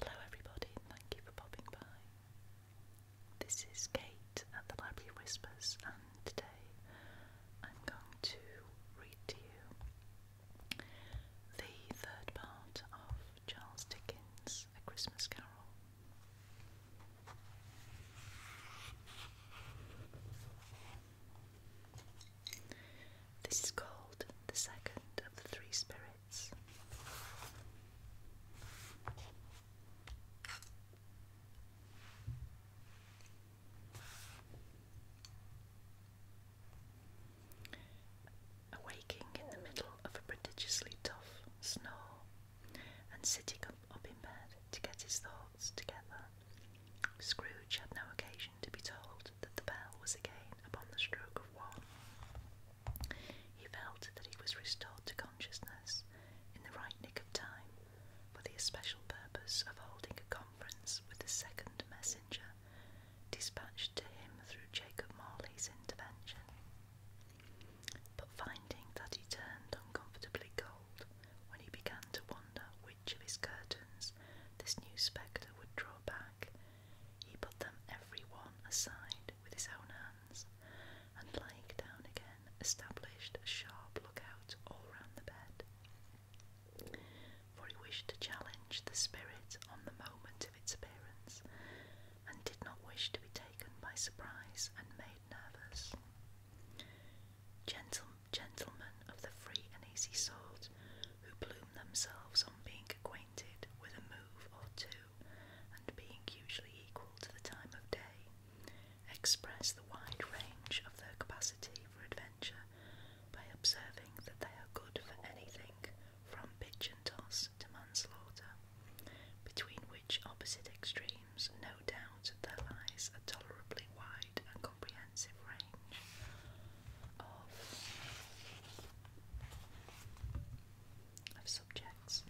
Hello, everybody, thank you for popping by. This is Kate at the Library Whispers, and today I'm going to read to you the third part of Charles Dickens' A Christmas Carol. This is called the second of the Three Spirits. Awaking in the middle of a prodigiously tough snore and sitting up in bed to get his thoughts together, Scrooge had no occasion to be told that the bell was again upon the stroke of one. He felt that he was restored to consciousness in the right nick of time for the especial purpose of holding a conference with the second messenger dispatched to him through Jacob Marley's intervention. But finding that he turned uncomfortably cold when he began to wonder which of his curtains this new spectre would draw back, he put them every one aside with his own hands, and lying down again, established a sharp lookout all round the bed. For he wished to challenge the spirit on the moment of its appearance, and did not wish to be taken by surprise and made nervous. Gentle gentlemen of the free and easy sort, who plume themselves on being acquainted with a move or two and being usually equal to the time of day, express the wide range of their capacity for adventure by observing that they are good for anything from pigeon and toss to manslaughter, between which opposite extremes, no doubt, there lies a tolerably wide and comprehensive range of subjects.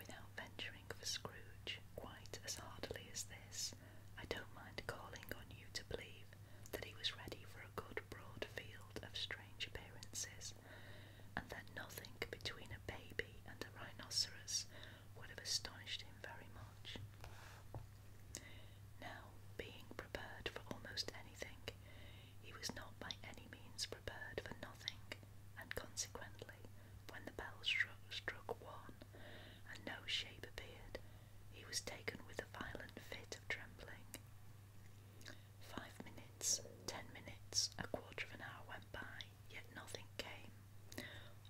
Without venturing for Scrooge quite as hardily as this, I don't mind calling on you to believe that he was ready for a good broad field of strange appearances, and that nothing between a baby and a rhinoceros would have astonished him very much. Now, being prepared for almost anything, he was not by any means prepared for nothing, and consequently, when the bell struck, struck one, and no shape appeared, he was taken with a violent fit of trembling. Five minutes, ten minutes, a quarter of an hour went by, yet nothing came.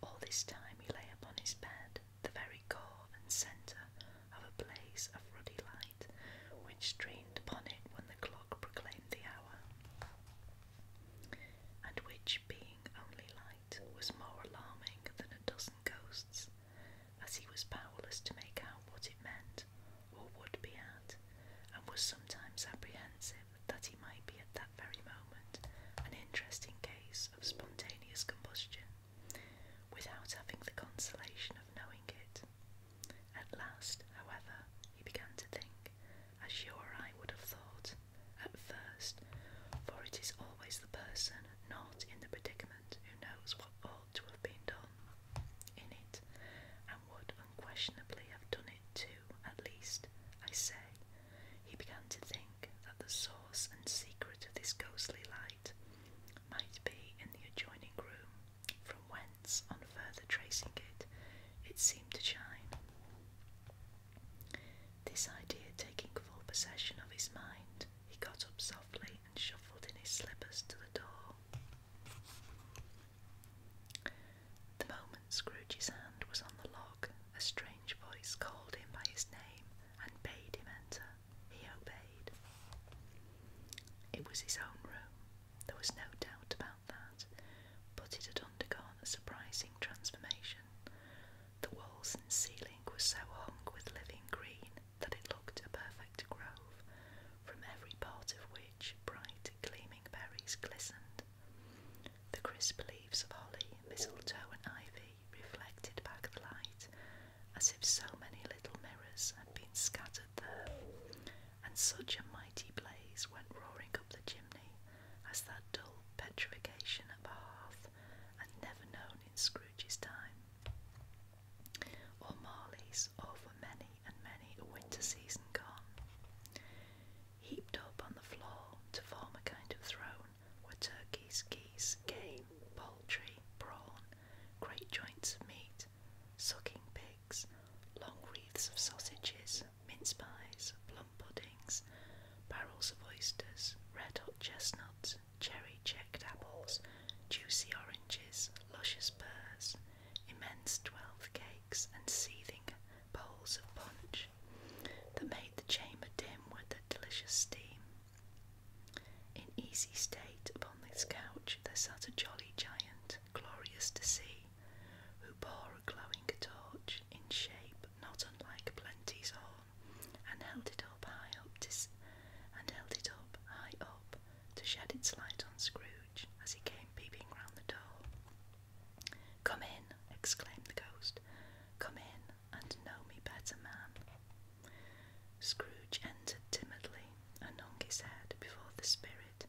All this time he lay upon his bed, the very core and centre of a blaze of ruddy light which streamed upon it when the clock proclaimed the hour, and which, being only light, was more alarming than a dozen ghosts, as he was powerless to make out what it meant or would be at, and was sometimes apprehensive that he might be at that very moment an interesting case of spontaneous combustion without having the consolation of knowing it. At last, however, he began to think, as you or I would have thought at first, for it is always the person not in the predicament who knows what ought to have been done in it, and would unquestionably have done it too, at least, I say. He began to think that the source and secret of this ghostly life might be in the adjoining room, from whence, on further tracing it, it seemed to shine. This idea taking full possession of his mind, he got up softly and shuffled in his slippers to the door. The moment Scrooge's hand was on the lock, a strange voice called him by his name and bade him enter. He obeyed. It was his own room, there was no doubt about that, but it had undergone a surprising transformation. The walls and ceiling were so hung with living green that it looked a perfect grove, from every part of which bright, gleaming berries glistened. The crisp leaves of holly, mistletoe, and ivy reflected back the light as if so many little mirrors had been scattered there, and such a mighty blaze went roaring up the chimney as that dull petrification of a hearth had never known in Scrooge's time, or Marley's, or for many and many a winter season gone. Heaped up on the floor to form a kind of throne were turkeys, geese, game, poultry, prawn, great joints of meat, sucking pigs, long wreaths of sausages, mince pies, plum puddings, barrels of oysters, red hot chestnuts, cherry checked apples, juicy oranges, luscious pears, immense twelve cakes, and seething bowls of punch that made the chamber dim with the delicious steam. In easy state upon this couch there sat a jolly giant, glorious to see, who bore a glowing torch in shape not unlike Plenty's horn, and held it up high up to, and held it up high up to shed its light on Scrooge as he came peeping round the door. Come in, exclaimed the ghost. Come in and know me better, man. Scrooge entered timidly and hung his head before the spirit.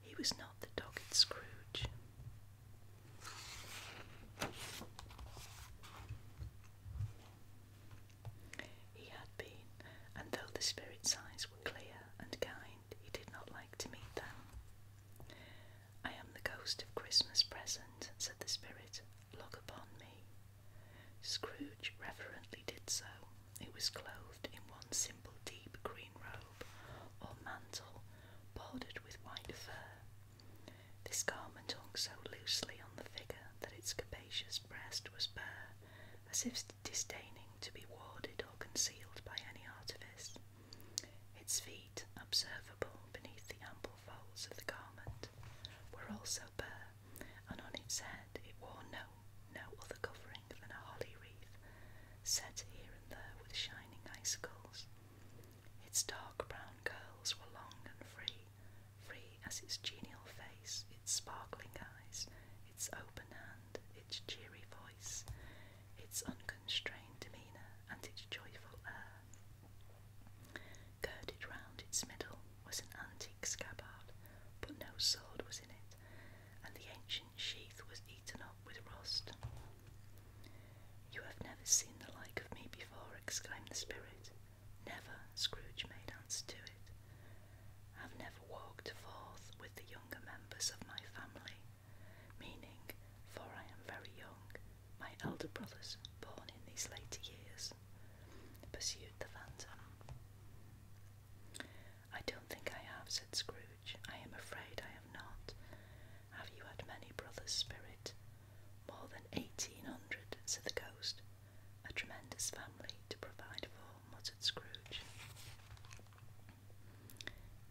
He was not the dogged Scrooge. He had been, and though the spirit's eyes were clear and kind, he did not like to meet them. I am the ghost of Christmas present, said the spirit. Look upon me. Scrooge reverently did so. It was clothed in one simple deep green robe or mantle bordered with white fur. This garment hung so loosely on the figure that its capacious breast was bare, as if disdaining to be warded or concealed by any artifice. Its feet, observable beneath the ample folds of the garment, were also bare, and on its head it wore no, no other covering than a holly wreath, set here and there with shining icicles. Its dark brown curls were long and free, free as its genial face, its sparkling eyes, its open hand, its cheery voice, its unconstrained demeanour, and its joyful air. Girded round its middle was an antique scabbard, but no sword was in it, and the ancient sheath was eaten up with rust. You have never seen the like of me before, exclaimed the spirit. Never, Scrooge made answer to it. I've never walked forth with the younger members of my family, meaning, for I am very young, my elder brothers born in these later years, pursued the phantom. I don't think I have, said Scrooge. I am afraid I have not. Have you had many brothers, Spirit? More than eighteen hundred," said the ghost. A tremendous family to provide for, muttered Scrooge.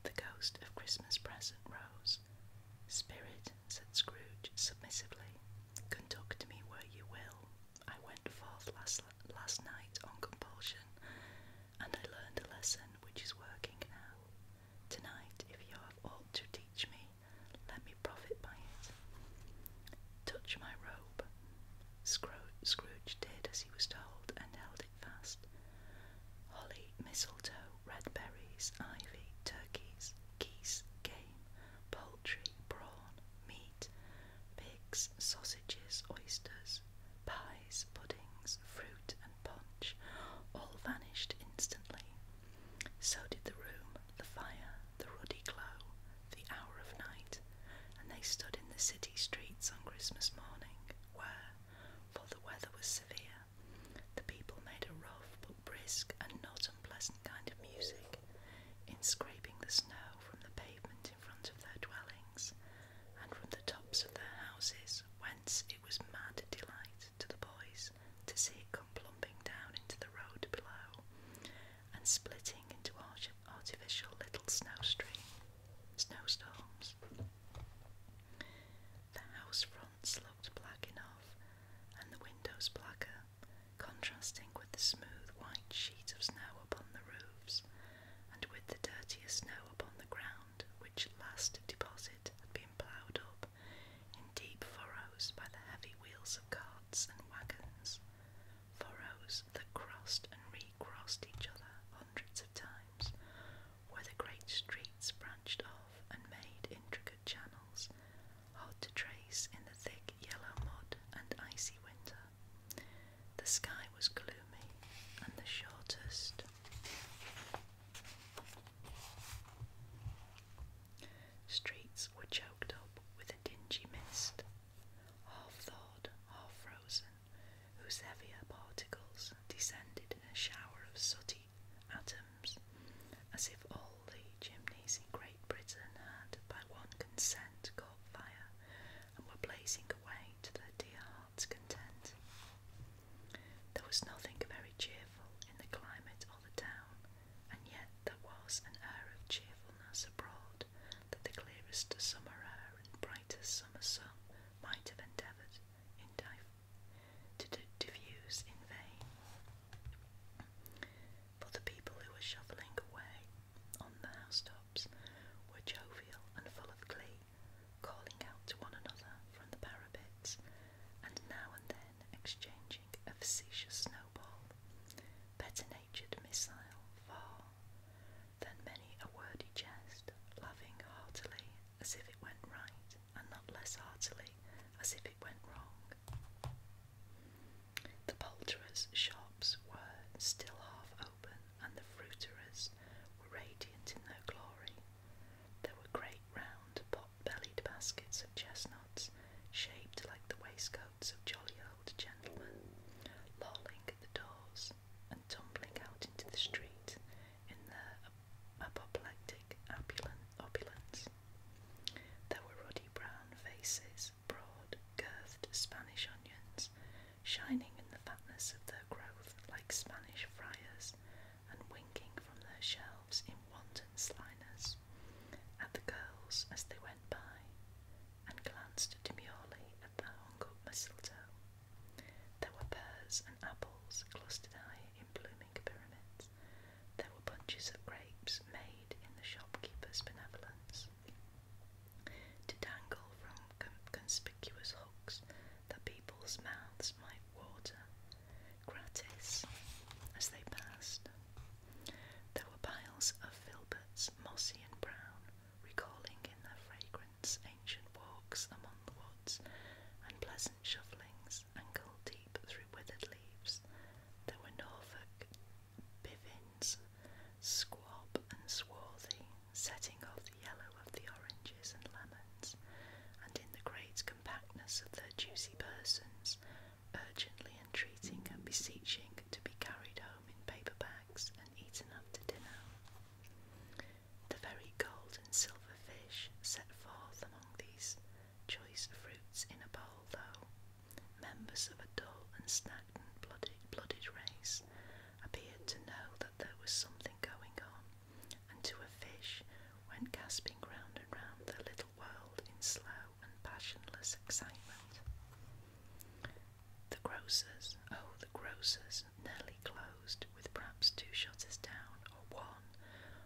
The ghost of Christmas present rose. Spirit, said Scrooge submissively, conduct me where you will. I went forth last last night on compulsion, and I learned a lesson which is working now. Tonight, if you have aught to teach me, let me profit by it. Touch my robe. Scrooge did as he was told and held it fast. Holly, mistletoe, red berries, ivy, turkeys, geese, game, poultry, brawn, meat, pigs, sausages, oysters, pies, puddings, fruit, and punch all vanished instantly. So did the room, the fire, the ruddy glow, the hour of night, and they stood in the city streets on Christmas morning, where, for the weather was severe, the people made a rough but brisk and not unpleasant kind of music in scraping the snow from the pavement in front of their dwellings and from the tops of their houses, whence it was mad delight to the boys to see it come plumping down into the road below and splitting into artificial little snowstream, snowstorms. The house fronts looked black enough, and the windows blacker, contrasting with the smooth white sheet of snow upon the roofs, and with the dirtier snow upon the ground, which last deposit had been ploughed up in deep furrows by the heavy wheels of carts and wagons, furrows that crossed and recrossed each other hundreds of times, where the great streets branched off and made intricate channels, hard to trace in the thick yellow mud and icy winter. The sky was gloomy and the shortest. Streets were choked up with a dingy mist, half thawed, half frozen, whose heavier particles descended in a shower of sooty atoms, as if all the chimneys in Great. Great Britain had, by one consent, caught fire and were blazing away to their dear hearts' content. There was nothing very cheerful in the climate or the town, and yet there was an air of cheerfulness abroad that the clearest summer air and brightest summer sun might have endeavoured in vain, to diffuse in vain but the people who were shoveling away on the housetops were jovial and full of glee, calling out to one another from the parapets, and now and then exchanging a facetious snowball, better-natured missile far, than many a wordy jest, loving heartily as if it went right, and not less heartily as if it went wrong. The poulterers' shops were still half open, and the fruiterers were radiant in their glory. There were great round pot-bellied baskets of chestnuts, shaped like the waistcoats of jolly old gentlemen, lolling at the doors and tumbling out into the street in their apoplectic opulence. There were ruddy brown faces broad, curved Spanish onions, shining in the fatness of their growth like Spanish friars, and winking from their shelves in wanton slyness at the girls as they went by, and glanced demurely at the hung-up mistletoe. There were pears and apples clustered high in blooming pyramids. There were bunches of grapes made in the shopkeeper's benevolence, to dangle from conspicuous hooks that people's mouths might water gratis as they passed. There were piles of filberts, mossy and brown, recalling in their fragrance ancient walks among the woods and pleasant shufflings ankle deep through withered leaves. There were Norfolk Bivins, Squab and Swarthy, setting off the yellow of the oranges and lemons, and in the great compactness of their juicy persons, urgently entreating and beseeching to be carried home in paper bags and eaten after dinner. The very gold and silver fish set forth among these choice fruits in a bowl, though, members of a dull and stagnant blooded, blooded race, appeared to know that there was something going on, and to a fish went gasping round and round the little world in slow and passionless excitement. The grocers, oh, the grocers, nearly closed with perhaps two shutters down or one,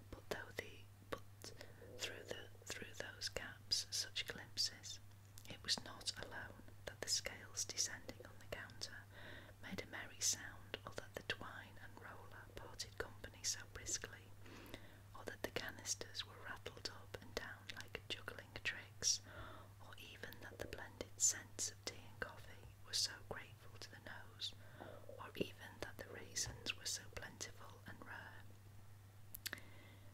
but though the but through the through those gaps such glimpses it was not alone that the scales descending on the counter made a merry sound, or that the twine and roller parted company so briskly, or that the canisters were rattled up and down like juggling tricks, or even that the blended scents of tea and coffee were so grateful to the nose, or even that the raisins were so plentiful and rare.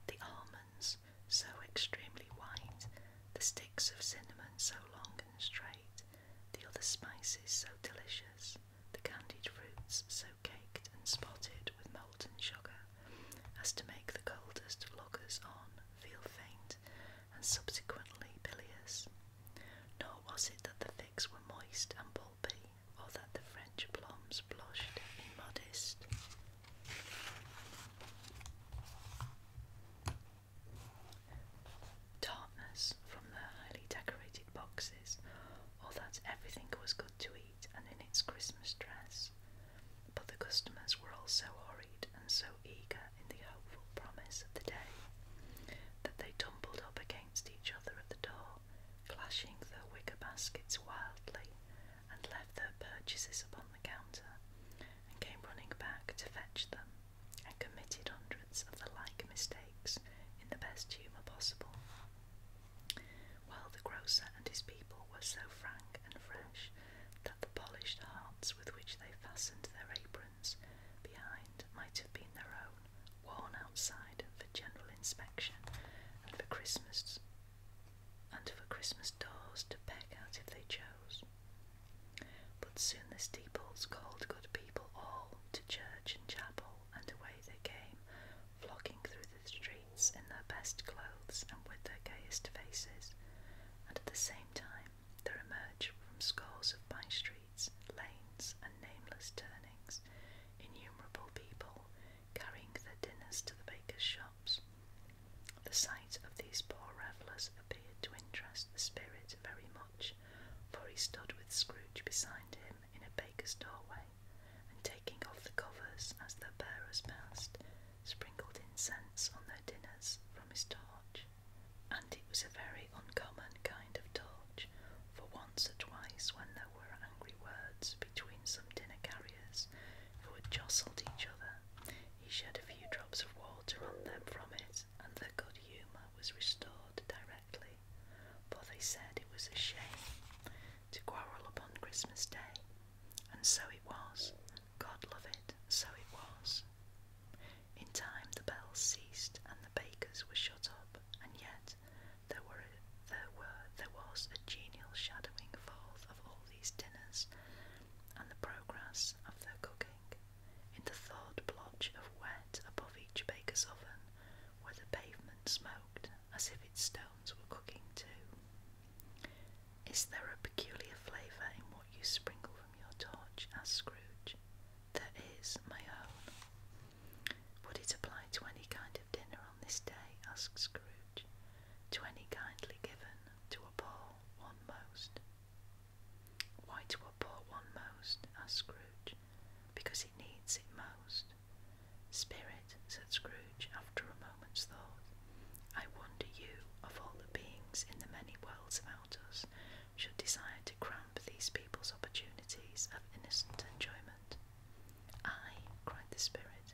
The almonds, so extremely white, the sticks of cinnamon so long and straight, the other spices so delicious, the candied fruits so caked and spotted with molten sugar, as to make the coldest lookers on feel faint and subsequently bilious. Nor was it that the figs were moist and pulpy, or that the French plums blushed immodest. Darkness from the highly decorated boxes, or that everything was good to eat and in its Christmas dress. But the customers were all so hurried and so eager in the hopeful promise of the day that they tumbled up against each other at the door, clashing their wicker baskets wildly and left their purchases upon the counter, and came running back to fetch them, and committed hundreds of the like mistakes in the best humour possible. While the grocer and his people were so frank and fresh that the polished hearts with which they fastened their aprons behind might have been their own, worn outside for general inspection and for Christmas and for Christmas doors to peck out if they chose. But soon the steeples called good people all to church and chapel, and away they came, flocking through the streets in their best clothes and with their gayest faces, and at the same time there emerged from scores of by streets, lanes, and nameless turnings innumerable people carrying their dinners to the baker's shop. The sight of these poor revellers appeared to interest the spirit very much, for he stood with Scrooge beside him in a baker's doorway, and taking off the covers as the bearers passed, sprinkled incense on their dinners from his torch. And it was a very uncommon kind of torch, for once or twice when there were angry words between some dinner carriers who had jostled each other, he shed a few drops of water on them from it, and their good humour was restored directly, for they said it was a shame to quarrel upon Christmas Day, and so it was. God love it, so it was. In time the bells ceased and the bakers were shut up, and yet there were there were there was a genial shadowing forth of all these dinners and the progress of their cooking. In the third blotch of wet above each baker's oven, where the pavement smoked as if its stones were cooking too. Is there a peculiar flavour in what you sprinkle from your torch? asked Scrooge. That is my own. Would it apply to any kind of dinner on this day? asked Scrooge. To any kindly given, to a poor one most? Why to a poor one most? asked Scrooge. Because he needs it most. Spirit, said Scrooge after a moment's thought, I wonder you, of all the beings in the many worlds about us, should desire to cramp these people's opportunities of innocent enjoyment. I, cried the Spirit,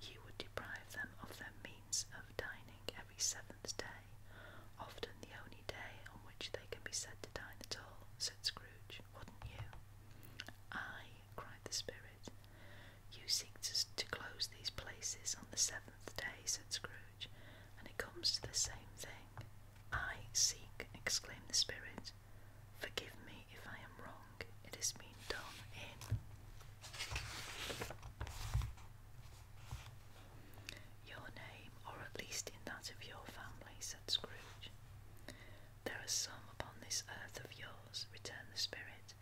you would deprive them of their means of dining every seventh day, often the only day on which they can be said to dine at all, said Scrooge, wouldn't you? "I," cried the spirit. You seek to close these places on the seventh day, said Scrooge, and it comes to the same thing. I seek, exclaimed the spirit. Forgive me if I am wrong song, it is being done in. Your name, or at least in that of your family, said Scrooge. There are some upon this earth of yours, returned the spirit,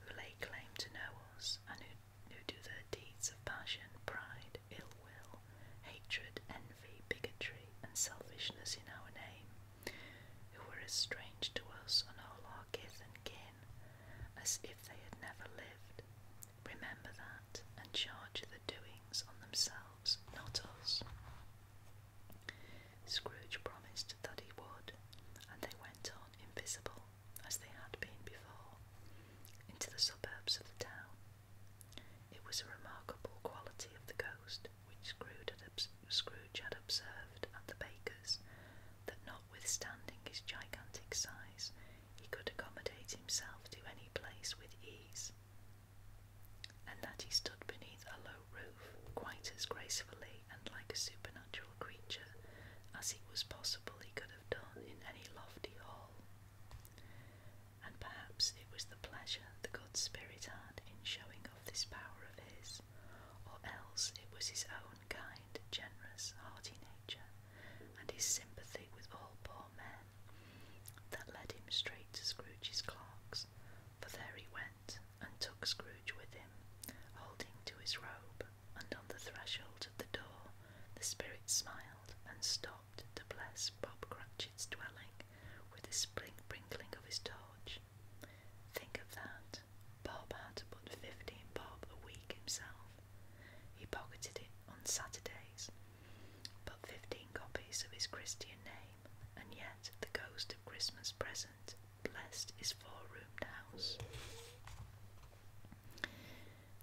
who lay claim to know us, and who, do their deeds of passion, pride, ill will, hatred, envy, bigotry, and selfishness in our name, who were as strange to us on all our kith and kin as if they had never lived. Remember that and charge the doings on themselves, not us. Scrooge promised that he would, and they went on invisible, as they had been before, into the suburbs of the town. It was a remarkable quality of the ghost which Scrooge had, observed at the baker's that notwithstanding his gigantic size, he could accommodate himself to any place with ease, and that he stood beneath a low roof quite as gracefully and like a supernatural creature as it was possible he could have done in any lofty hall. And perhaps it was the pleasure the god spirit had in showing off this power of his, or else it was his own kind, generous, hearty nature, and his sympathy with all poor men, that led him straight to Scrooge's clerk's, for there he went and took Scrooge with him, holding to his robe, and on the threshold of the door the spirit smiled and stopped to bless Bob Cratchit's dwelling with the sprinkling of his torch. Think of that, Bob had but fifteen bob a week himself. He pocketed it on Saturdays, but fifteen copies of his Christian name, and yet the ghost of Christmas present blessed his four-roomed house.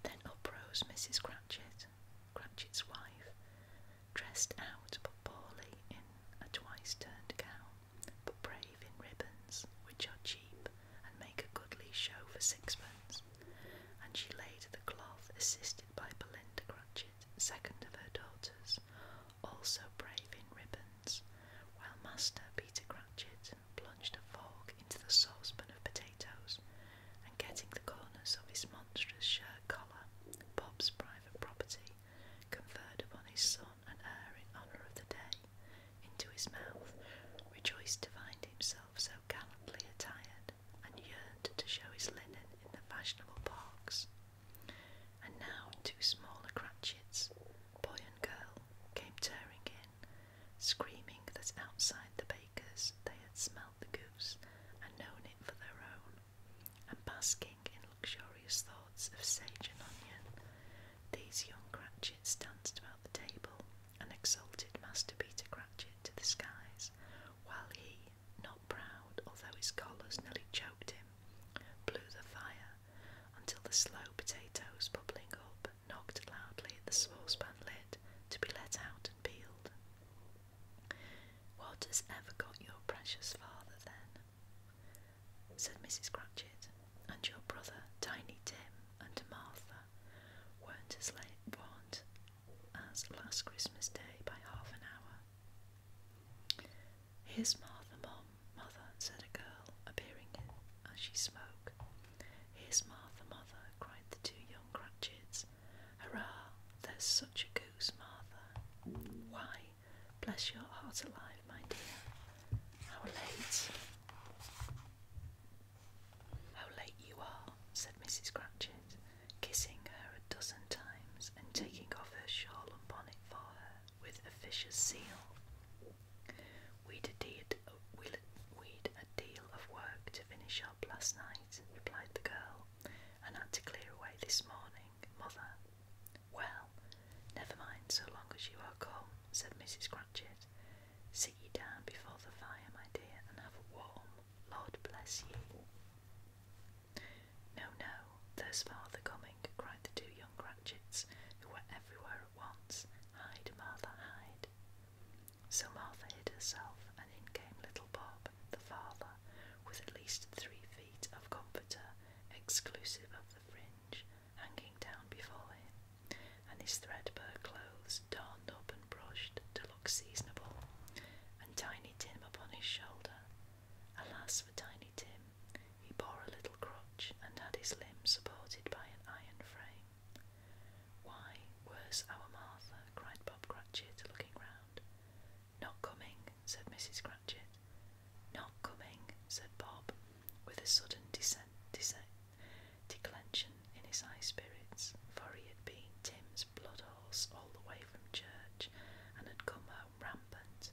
Then up rose Mrs. Cratchit, Cratchit's wife, dressed out but poorly in a twice-turned gown but brave in ribbons, which are cheap and make a goodly show for sixpence. And she laid the cloth, assisted by Belinda Cratchit, second of her daughters, also brave in ribbons, while Master Peter Cratchit plunged a fork into the saucepan of potatoes, and getting the corners of his monstrous shirt collar, Bob's private property, conferred upon his son and air in honour of the day into his mouth, rejoiced to find himself so gallantly attired, and yearned to show his linen in the fashionable parks. And now two smaller cratchits, boy and girl, came tearing in, screaming that outside the baker's they had smelt the goose and known it for their own, and basking in luxurious thought of sage and onion. These young Cratchits danced about the table and exalted Master Peter Cratchit to the skies, while he, not proud, although his collars nearly choked him, blew the fire until the slow potatoes bubbling up knocked loudly at the saucepan lid to be let out and peeled. What has ever got your precious father then? said Mrs. Cratchit, and your brother, Tiny Tim, and Martha weren't as late, weren't as last Christmas Day by half an hour. Here's Martha, Mum, Mother, said a girl, appearing as she spoke. Here's Martha, Mother, cried the two young Cratchits. Hurrah! There's such a goose, Martha. Why, bless your heart alive, my dear. How late? How late you are, said Mrs. Cratchit, kissing her a dozen times and taking off her shawl and bonnet for her with a fisher's seal. we did a deal of work to finish up last night, replied the girl, and had to clear away this morning, mother. Well, Never mind, so long as you are calm, said Mrs. Cratchit. Sit you down before the fire, my dear, and have a warm. Lord bless you. No, no, there's father coming, cried the two young Cratchits, who were everywhere at once. Hide, Martha, hide. So Martha hid herself, and in came little Bob, the father, with at least three feet of comforter, exclusive of the fringe, hanging down before him and his threadbare clothes darned up and brushed to look seasonable, and Tiny Tim upon his shoulder. Alas for Tiny Tim, he bore a little crutch and had his limbs supported by an iron frame. Why, where's our Martha? cried Bob Cratchit, looking round. Not coming, said Mrs. Cratchit. Not coming, said Bob, with a sudden descent, declension in his high spirits, for he had been Tim's blood horse all the way from church and had come home rampant,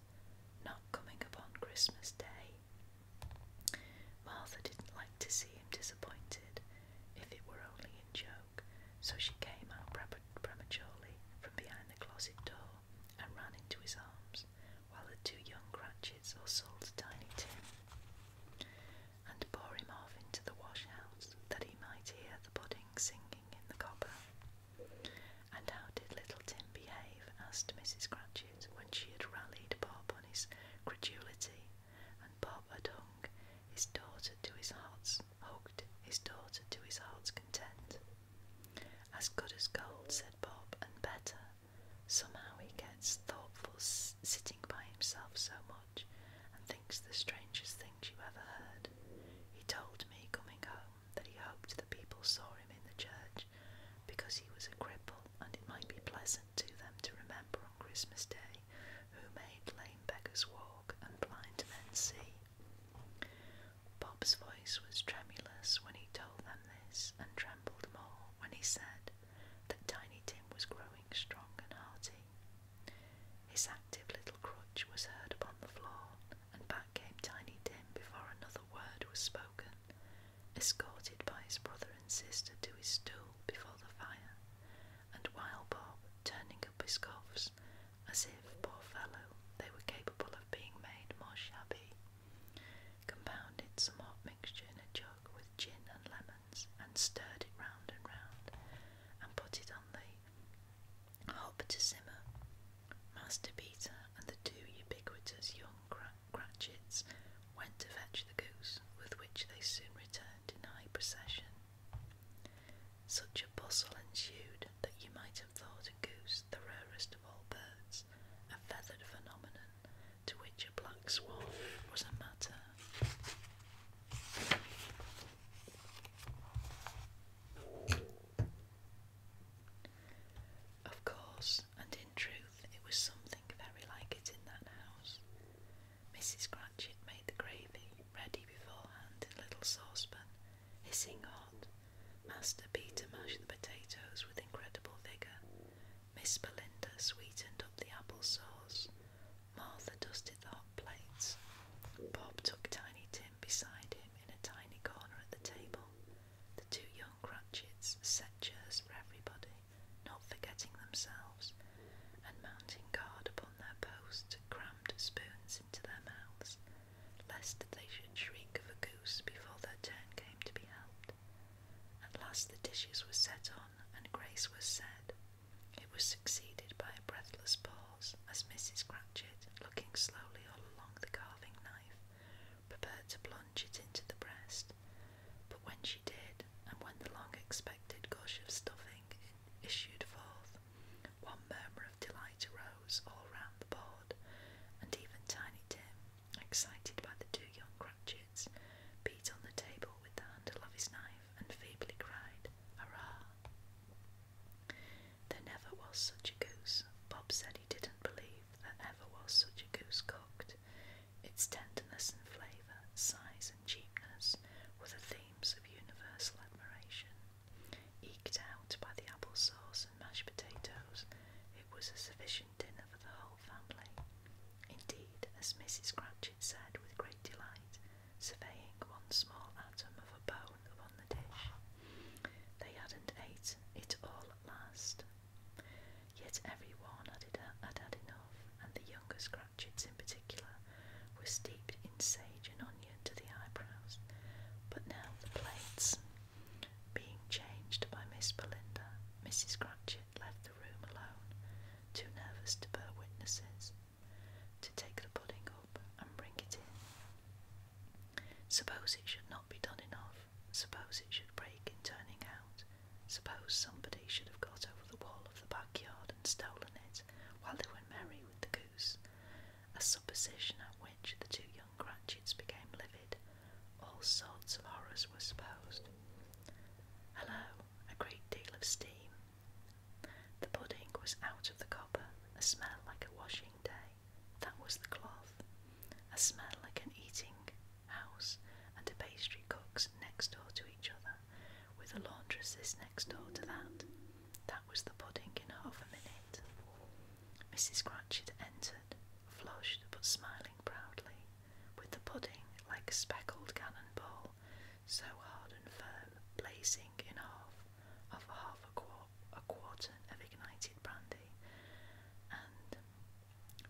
not coming upon Christmas Day. Martha didn't like to see him disappointed, if it were only in joke, so she came out prematurely from behind the closet door and ran into his arms while the two young Cratchits hustled Tiny Tim and bore him off into the wash house that he might hear the pudding singing in the copper. And how did little Tim behave? asked Mrs. Cratchit when she had rallied Bob on his credulity, and Bob had hung his daughter to his heart's hugged his daughter to his heart's content. As good as gold, said Bob, and better, Somehow he gets thoughtful sitting by himself so much and thinks the strangest things you ever heard. He told me coming home that he hoped the people saw him in the church because he was a cripple and it might be pleasant to them to remember on Christmas Day who made lame beggars walk and blind men see. Bob's voice was tremulous when he told them this and more when he said that Tiny Tim was growing strong and hearty. His active little crutch was heard upon the floor, and back came Tiny Tim before another word was spoken, escorted by his brother and sister to his stool before the fire, and while Bob, turning up his cuffs, as if, poor fellow, they were capable of being made more shabby, compounded some hot in a jug with gin and lemons and stirred it round and round and put it on the hob to simmer. Master Peter and the two ubiquitous young Cratchits went to fetch the goose, with which they soon returned in high procession. Such a bustle ensued that you might have thought a goose the rarest of all birds a feathered phenomenon to which a black swan was a matter. Of course, and in truth, it was something very like it in that house. Mrs. Cratchit made the gravy ready beforehand in a little saucepan, hissing hot. Master Peter mashed the potatoes with incredible vigour, Miss Belinda sweetened up the apple sauce. Martha dusted the hot plates. Bob took Tiny Tim beside him in a tiny corner at the table. The two young Cratchits set chairs for everybody, not forgetting themselves, and mounting guard upon their posts, crammed spoons into their mouths, lest they should shriek of a goose before their turn came to be helped. At last the dishes were set on, and grace was said. It was succeeded by a breathless pause as Mrs. Cratchit, looking slowly all along the carving knife, prepared to plunge it into the breast. But when she did, and when the long expected gush of stuffing issued forth, one murmur of delight arose all round the board, and even Tiny Tim, Excited by the two young Cratchits, beat on the table with the handle of his knife and feebly cried, Hurrah! There never was such a goose. Bob said he didn't believe there ever was such a goose cooked. Its tenderness and flavour, size and cheapness were the themes of universal admiration. Eked out by the apple sauce and mashed potatoes, it was a sufficient dinner for the whole Indeed, as Mrs. Cratchit said with great delight, surveying one small atom of a bone upon the dish, they hadn't ate it all at last. Yet every one had, had enough, and the youngest Cratchits in particular were steeped in sage and onion to the eyebrows. But now the plates, being changed by Miss Belinda, Mrs. Cratchit left the room alone, too nervous to bear witnesses, to take the pudding up and bring it in. Suppose it should not be done enough, suppose it should break in turning out, suppose somebody should have got over the wall of the backyard and stolen it while they were merry with the goose, a supposition at which the two young Cratchits became livid all sorts of horrors were supposed. Hello, a great deal of steam. The pudding was out of the copper, a smell like a washing day. That was the cloth. A smell like an eating house and a pastry cook's next door to each other, with a laundress's next door to that. That was the pudding in half a minute. Mrs. Cratchit entered, flushed but smiling proudly with the pudding like a speckled cannonball, so hard and firm, blazing in half of half a, quart a quarter of ignited brandy, and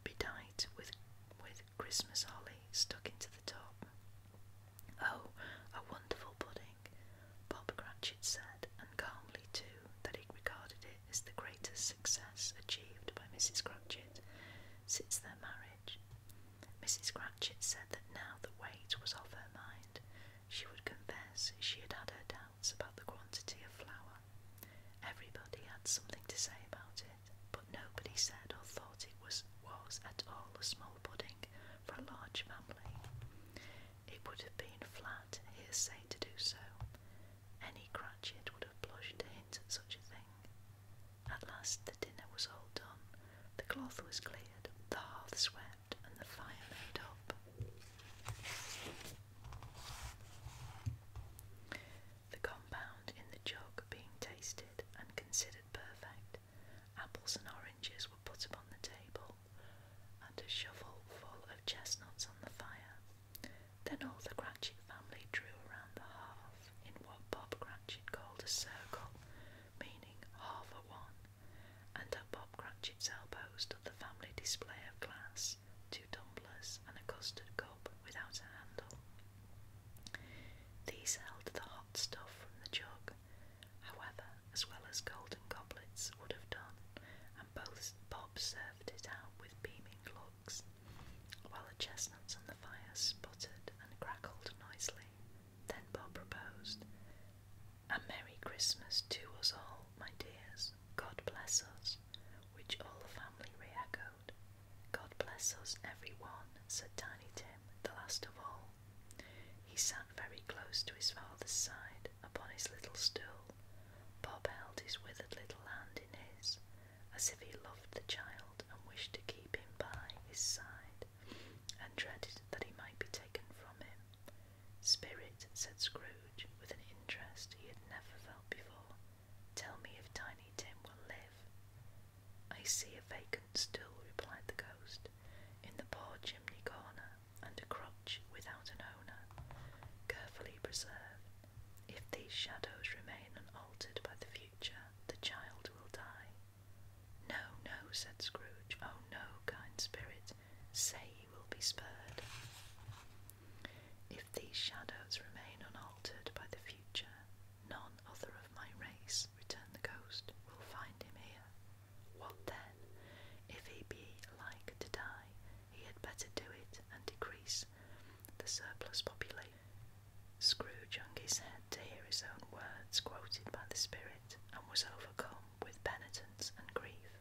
bedight with with Christmas holly stuck into the top. Oh, a wonderful pudding, Bob Cratchit said, and calmly too, that he regarded is the greatest success achieved by Mrs. Cratchit since their marriage. Mrs. Cratchit said that now the weight was off her mind, she would confess she had had her doubts about the quantity of flour. Everybody had something to say about it, but nobody said or thought it was, was at all a small pudding for a large family. It would have been flat hearsay to do so, any Cratchit would have blushed to hint at such a thing. At last the dinner was all done, the cloth was cleared, the hearth swept, and the fire made up. The compound in the jug being tasted and considered perfect, apples and oranges were put upon the table, and a shovel full of chestnuts on the fire. Then all the Cratchit family drew around the hearth in what Bob Cratchit called a circle, meaning half a one, and at Bob Cratchit's elbow stood the family display of glass, two tumblers, and a custard cup without a handle. These held the hot stuff from the jug, however, as well as golden goblets would have done, and both Bob served it out with beaming glory while the chestnuts on the fire sputtered and crackled noisily. Then Bob proposed, A Merry Christmas to us all, my dears. God bless us, which all the family reechoed. God bless us, every one," said Tiny Tim, the last of all. He sat very close to his father's side upon his little stool. Bob held his withered little hand in his, as if he loved the child and wished to keep him by his side, and dreaded that he might be taken from him. Spirit, said Scrooge, with an interest he had never felt before, tell me if Tiny Tim will live. I see a vacant stool, replied the ghost, in the poor chimney corner, and a crutch without an owner, carefully preserved if these shadows remain unaltered by the future, the child will die. No, no, said Scrooge. Oh, no, kind spirit, say he will be spared. If these shadows remain unaltered by the future, none other of my race, returned the ghost, will find him here. What then? If he be like to die, he had better do it and decrease the surplus population. Scrooge hung his head to hear his own words quoted by the spirit and was overcome with penitence and grief.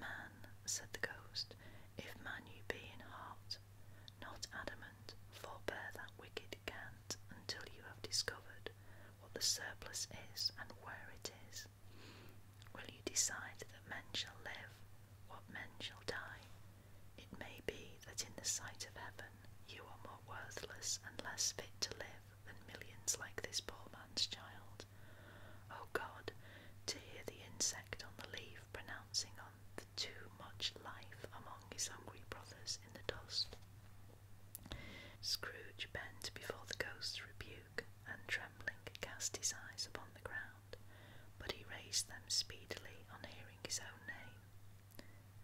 Man, said the ghost, if man you be in heart, not adamant, forbear that wicked cant until you have discovered what the surplus is and where it is. Will you decide that men shall live, what men shall die, it may be that in the sight of heaven you are more worthless and less fit to live than millions like this poor man's child. Oh God, to hear the insect on the leaf pronouncing on the too much life among his hungry brothers in the dust. Scrooge bent before the ghost's rebuke and trembling cast his eyes upon the ground but he raised them speedily on hearing his own name.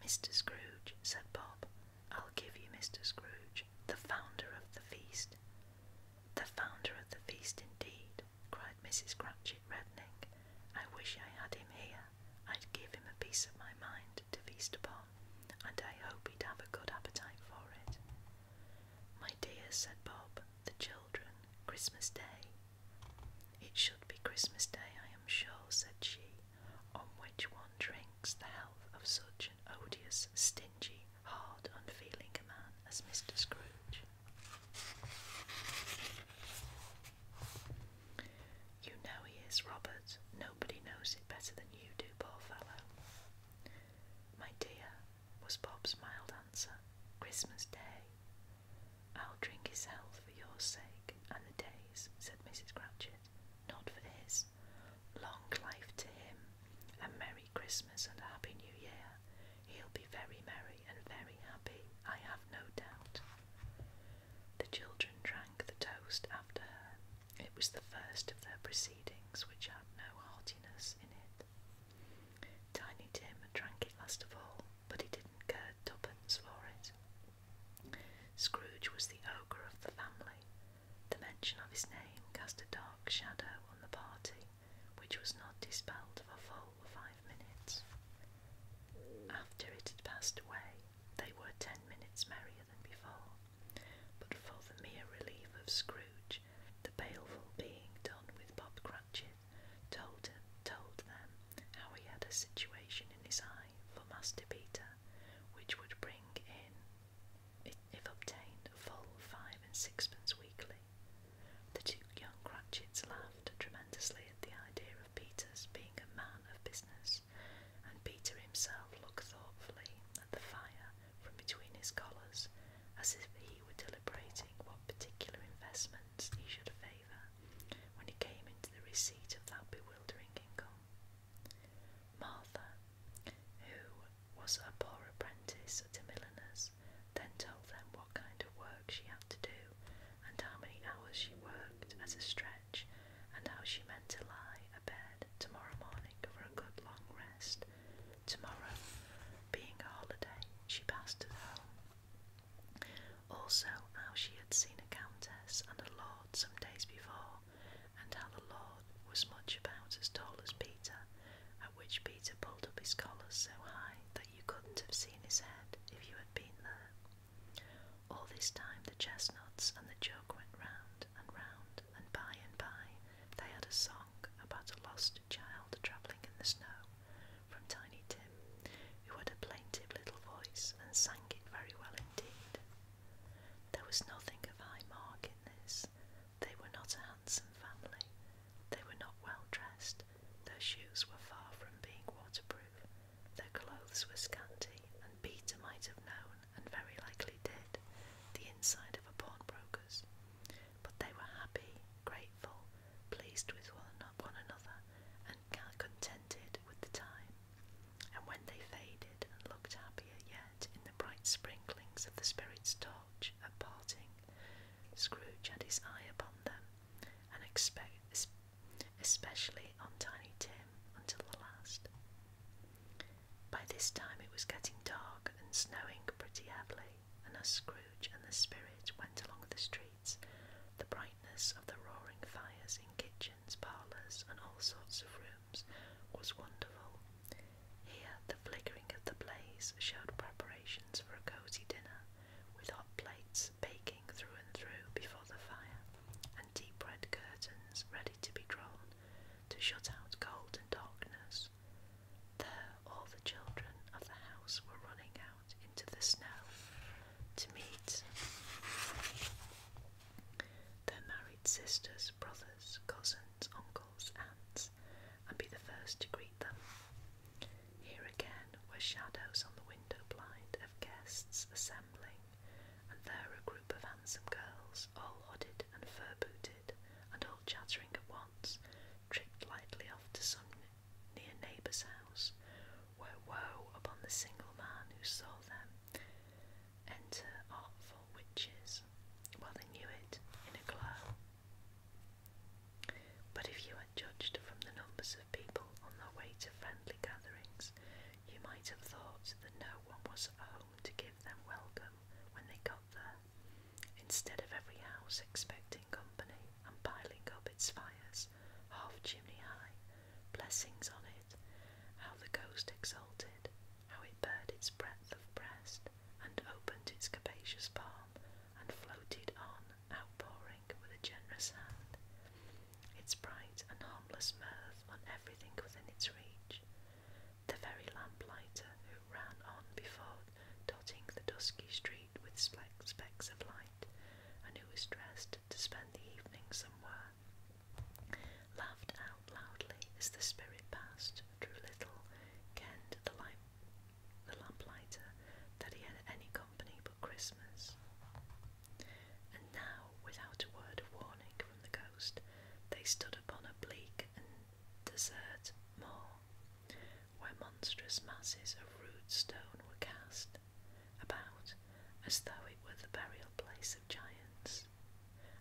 Mr. Scrooge, said Bob, I'll give you Mr. Scrooge, the founder of the feast. The founder of the feast, indeed, cried Mrs. Cratchit, reddening. I wish I had him here. I'd give him a piece of my mind to feast upon, and I hope he'd have a good appetite for it. My dear, said Bob, the children, Christmas Day it should be Christmas Day, I am sure, said she, on which one drinks the health of such an odious, stingy, hard, unfeeling man as Mr. Scrooge. You know he is, Robert. Nobody knows it better than you do, poor fellow. My dear, was Bob's mild answer, Christmas Day. I'll drink his health for your sake and the day's, said Mrs. Cratchit, not for his. Long life to him, and Merry Christmas and a Happy New Year. He'll be very merry and very happy, I have no doubt. The children drank the toast after her. It was the first of their proceedings which had no heartiness in it. Tiny Tim drank it last of all, but he didn't care twopence for it. Scrooge was the ogre of the family. The mention of his name cast a dark shadow on the party, which was not dispelled for full five minutes. After it had passed away, they were ten minutes merrier than before, but for the mere relief of Scrooge, the baleful being done with Bob Cratchit told, told them how he had a situation in his eye for Master Peter which would bring in, if obtained, full five and sixpence weekly. The two young Cratchits laughed tremendously at the idea of Peter's being a man of business, and Peter himself looked thoughtfully at the fire from between his collars as if he were deliberating what particular investment he should favour when he came into the receipt of that bewildering income. Martha, who was a poor apprentice at a milliner's, then told them what kind of work she had to do and how many hours she worked at a stretch and how she meant to lie abed tomorrow morning for a good long rest. Tomorrow, being a holiday, she passed at home. Also, how she had seen a countess and a lord some days before, and how the lord was much about as tall as Peter, at which Peter pulled up his collar so high that you couldn't have seen his head if you had been there. All this time the chestnuts and the joke went round and round, and by and by they had a song about a lost child travelling in the snow from Tiny Tim, who had a plaintive little voice and sang it very well indeed. There was nothing of high mark in this. They were not a handsome family. They were not well dressed. Their shoes were far from being waterproof. Their clothes were scanty, and Peter might have known, and very likely did, the inside of a pawnbroker's. But they were happy, grateful, pleased with one another upon another and contented with the time. And when they faded and looked happier yet in the bright sprinklings of the spirit's torch at parting, Scrooge had his eye upon them, and especially on Tiny Tim until the last. By this time it was getting dark and snowing pretty heavily, and as Scrooge and the spirit went along the streets, the brightness of the roaring fires in kitchens, parlours, and all sorts of rooms was wonderful. Here, the flickering of the blaze showed preparations for a cosy dinner, with hot plates baking through and through before the fire, and deep red curtains ready to be drawn to shut out cold and darkness. There, all the children of the house were running out into the snow to meet their married sisters, brothers, cousins, uncles, aunts, and be the first to greet them. Here again were shadows on the window blind of guests assembling, and there a group of handsome girls, all hooded and fur booted, and all chattering at once, tripped lightly off to some near a neighbour's house, where woe upon the single man who saw them enter artful witches. Well, they knew it in a glow. But if you had judged from the numbers of people on their way to friendly gatherings, you might have thought that no one was at home to give them welcome when they got there, instead of every house expecting company and piling up its fires half chimney high, blessings on it, how the ghost exulted, how it bared its breadth of breast, and opened its capacious palm, and floated on, outpouring with a generous hand, its bright and harmless mirth on everything within its reach. The very lamplighter who ran on before dotting the dusky street with specks of light, and who was dressed to spend the evening somewhere, laughed out loudly as the spirit passed, drew little, kenned the, light, the lamplighter that he had any company but Christmas. And now, without a word of warning from the ghost, they stood upon a bleak and desert moor, where monstrous masses of rude stone were cast about as though it were the burial place of giants,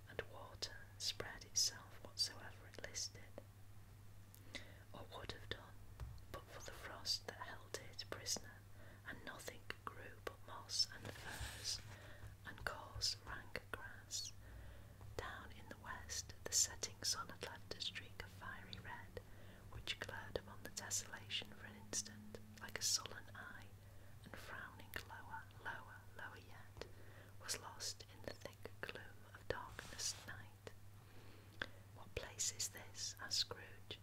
and water spread itself whatsoever it listed, or would have done, but for the frost that held it prisoner, and nothing grew but moss and furze and coarse rank grass. Down in the west, the setting sun had left a streak of fiery red which glared upon the desolation for an instant, like a sullen eye, and frowning lower, lower, lower yet, was lost in the thick gloom of darkness night. What place is this? asked Scrooge.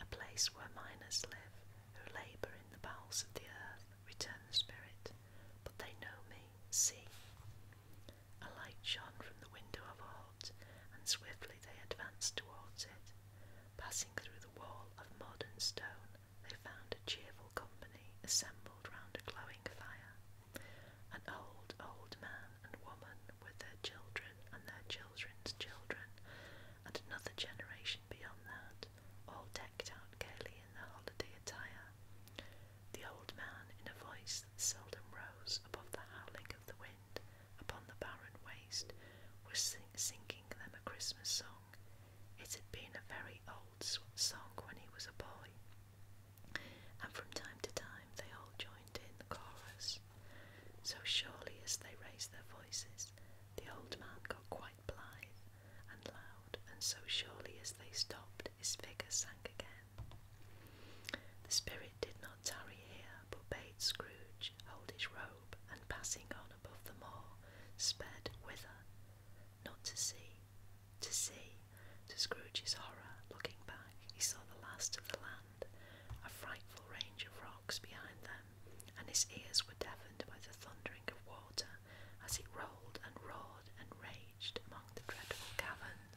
A place where miners live, who labour in the bowels of the earth, returned the spirit, but they know me, see. A light shone from the window of a hut, and swiftly they advanced towards it. Passing through the wall of mud and stone, they found a cheerful company assembled round a glowing fire. An old, old man and woman with their children and their children's children, and another generation beyond that, all decked out gaily in their holiday attire. The old man, in a voice that seldom rose above the howling of the wind, upon the barren waste was singing them a Christmas song. It had been a very old song when he was a boy, and from time to time they all joined in the chorus. So surely as they raised their voices, the old man got quite blithe and loud, and so surely as they stopped, his figure sank again. The spirit did not tarry here, but bade Scrooge hold his robe, and passing on above the moor, sped whither? Not to see, to see, to Scrooge's horror, looking back, he saw the last of the land, a frightful range of rocks behind them, and his ears were deafened by the thundering of water as it rolled and roared and raged among the dreadful caverns.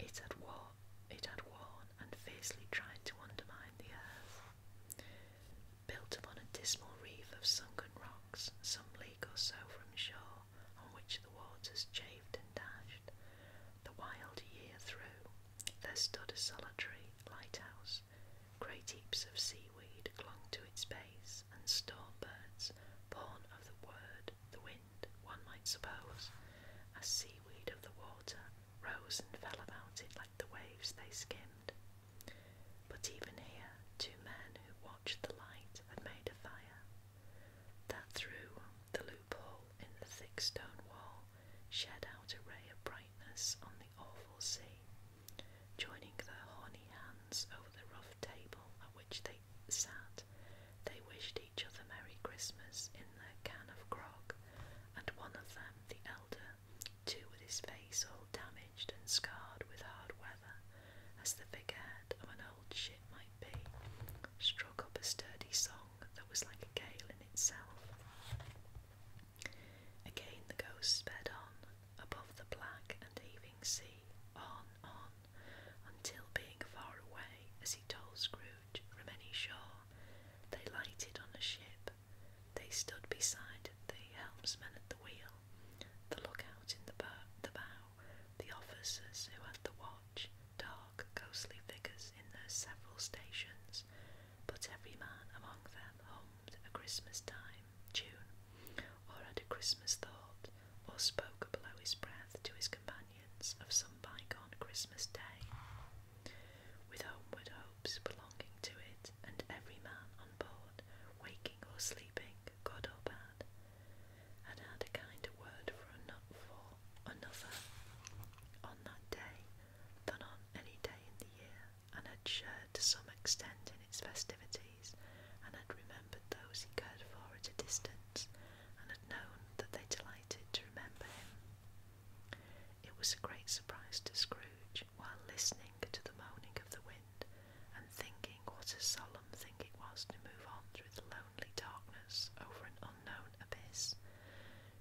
It had, war it had worn and fiercely tried to undermine the earth. Built upon a dismal reef of sunken rocks, some league or so from shore, on which the waters chafed and dashed, the wild year through, there stood a solitary lighthouse. Great heaps of seaweed clung to its base, and storm birds, born of the word the wind, one might suppose, a seaweed of the water rose and fell about it like the waves they skimmed. But even here, two men who watched the light had made a fire that through the loophole in the thick stone wall shed out a ray of brightness on the awful sea, joining their horny hands over the rough table at which they Sat, They wished each other Merry Christmas in their can of grog, and one of them, the elder, two with his face all damaged and scarred with hard weather, as the figurehead of an old ship might be, struck up a sturdy song that was like a gale in itself. Again the ghost sped on, above the black and heaving sea, on, on, until being far away, as he told Scrooge from any shore, they lighted on a ship. They stood beside the helmsman at the wheel, the lookout in the bow, the, bow, the officers who had the watch, dark, ghostly figures in their several stations, but every man among them hummed a Christmas time tune or had a Christmas thought, or spoke below his breath to his companions of some bygone Christmas day, with homeward hopes belonging to it, and every man on board, waking or sleeping, good or bad, had had a kinder word for, another on that day than on any day in the year, and had shared to some extent in its festivity and had remembered those he cared for at a distance, and had known that they delighted to remember him. It was a great surprise to Scrooge, while listening to the moaning of the wind, and thinking what a solemn thing it was to move on through the lonely darkness over an unknown abyss,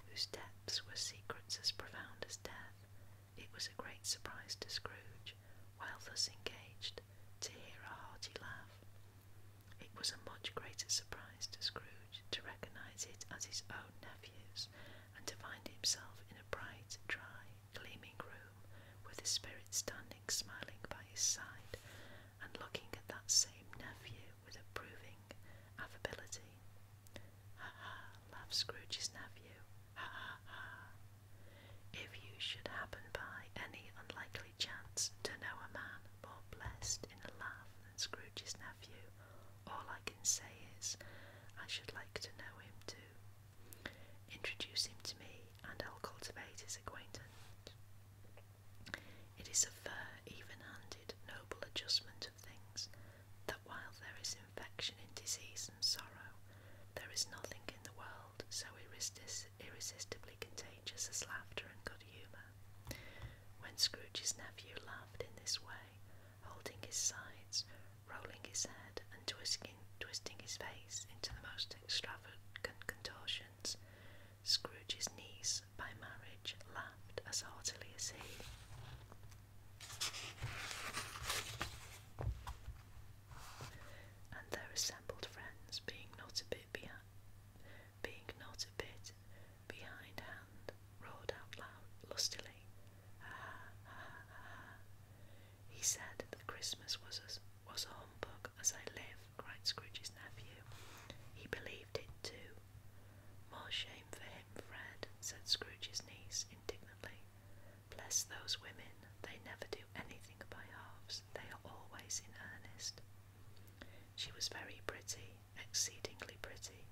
whose depths were secrets as profound as death. It was a great surprise to Scrooge, while thus engaged, to hear a hearty laugh, it was a much greater surprise to Scrooge to recognise it as his own nephew's, and to find himself in a bright, dry, gleaming room, with his spirit standing smiling by his side, and looking at that same nephew with approving affability. Ha ha! laughed Scrooge's nephew. Ha ha ha! If you should happen by any unlikely chance to know a man more blessed in a laugh than Scrooge's nephew, all I can say is, I should like to know him too. Introduce him to me, and I'll cultivate his acquaintance. It is a fair, even-handed, noble adjustment of things that while there is infection in disease and sorrow, there is nothing in the world so irresist irresistibly contagious features as laughter and good humour. When Scrooge's nephew laughed in this way, holding his sides, rolling his head, and twisting, twisting his face into the most extravagant contortions, Scrooge's niece by marriage laughed as heartily as he. And their assembled friends, being not a bit being not a bit behindhand, roared out loud, lustily, ah, ah, ah. ah. He said that Christmas was a, was a humbug as I live, cried Scrooge's nephew. He believed it too. More shame for him, Fred, said Scrooge's niece indignantly. Bless those women, they never do anything by halves they are always in earnest. She was very pretty, exceedingly pretty,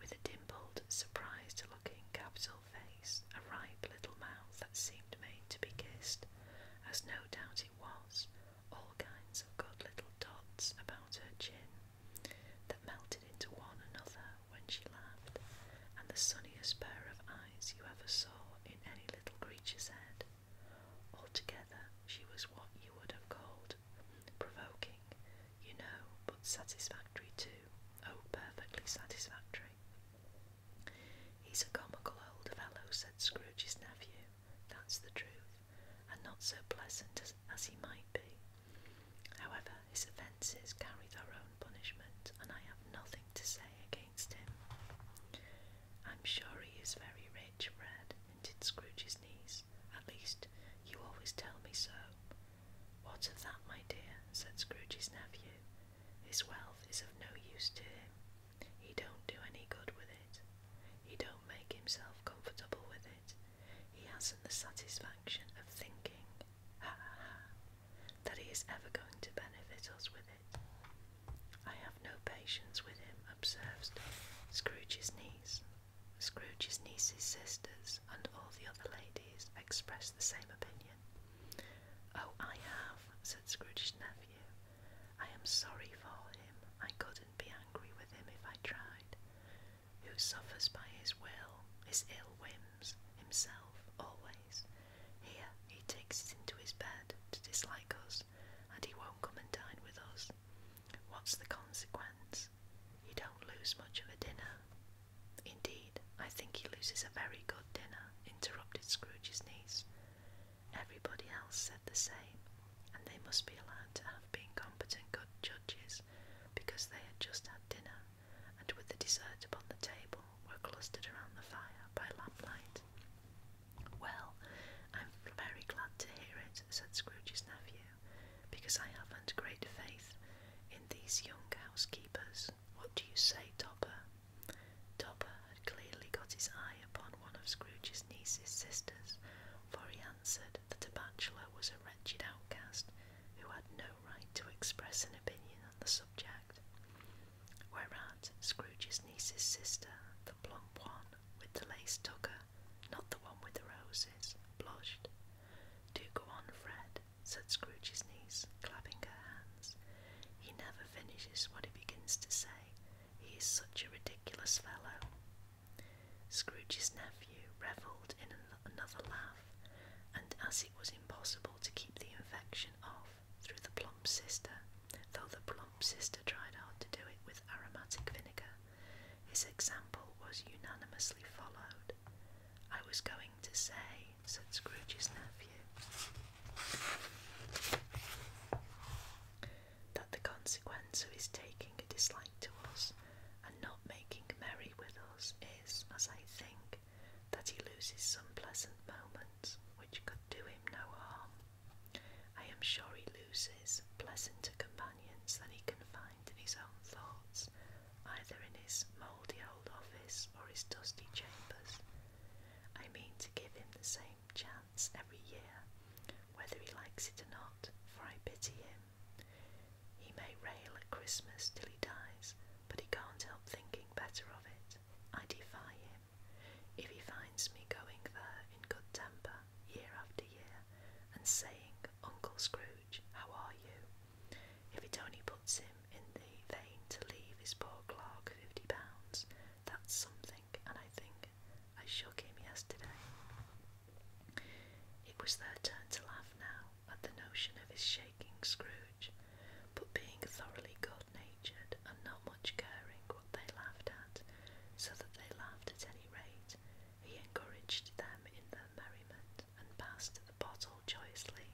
with a dimpled, surprised looking capital face, a ripe little mouth that seemed made to be kissed, as no doubt it was, all kinds of good little dots about her chin that melted into one another when she laughed, and the sunniest pair of eyes you ever saw in any little creature's head. Altogether, she was what you would have called provoking, you know, but satisfactory too. Oh, perfectly satisfactory. He's a comical old fellow, said Scrooge's nephew. That's the truth, and not so pleasant as, he might be. However, his offences carry their own punishment, and I have nothing to say against I'm sure he is very rich, Fred, hinted Scrooge's niece. At least, you always tell me so. What of that, my dear, said Scrooge's nephew. His wealth is of no use to him. He don't do any good with it. He don't make himself comfortable with it. He hasn't the satisfaction of thinking, ha ha ha, that he is ever going to benefit us with it. I have no patience with him, observes Scrooge's niece. Scrooge's niece's sisters and all the other ladies expressed the same opinion. Oh, I have, said Scrooge's nephew. I am sorry for him. I couldn't be angry with him if I tried. Who suffers by his will, his ill whims, himself, always, here, he takes it into his bed to dislike us, and he won't come and dine with us. What's the consequence? He don't lose much of a dinner. Indeed, I think he loses a very good dinner, interrupted Scrooge's niece. Everybody else said the same, and they must be allowed to have been competent good judges, because they had just had dinner, and with the dessert upon the table were clustered around the fire by lamplight. Well, I'm very glad to hear it, said Scrooge's nephew, because I haven't great faith in these young housekeepers. What do you say, Topper? Topper had clearly got his eye upon one of Scrooge's niece's sisters, for he answered that a bachelor was a wretched outcast who had no right to express an opinion on the subject. Whereat Scrooge's niece's sister, the plump one with the lace tucker, not the one with the roses, blushed. Do go on, Fred, said Scrooge's niece, clapping her hands. He never finishes what he begins to say. He is such a ridiculous fellow. Scrooge's nephew revelled in another laugh, and as it was impossible to keep the infection off, through the plump sister, though the plump sister tried hard to do it with aromatic vinegar. His example was unanimously followed. I was going to say, said Scrooge's nephew, that the consequence of his taking a dislike to us and not making merry with us is, as I think, that he loses some pleasant moments which could do him no harm. I am sure he loses pleasanter companions than he can find in his own thoughts, either in his mouldy old office or his dusty chambers. I mean to give him the same chance every year, whether he likes it or not, for I pity him. He may rail at Christmas till he dies, but he can't help thinking better of it. I defy him if he finds me going there in good temper year after year and saying, Uncle Scrooge, how are you? If it only puts him in the vein to leave his poor clerk fifty pounds, that's something, and I think I shook him yesterday. It was their turn to laugh now at the notion of his shaking Scrooge, but being thoroughly good natured and not much caring they laughed at, so that they laughed at any rate. He encouraged them in their merriment and passed the bottle joyously.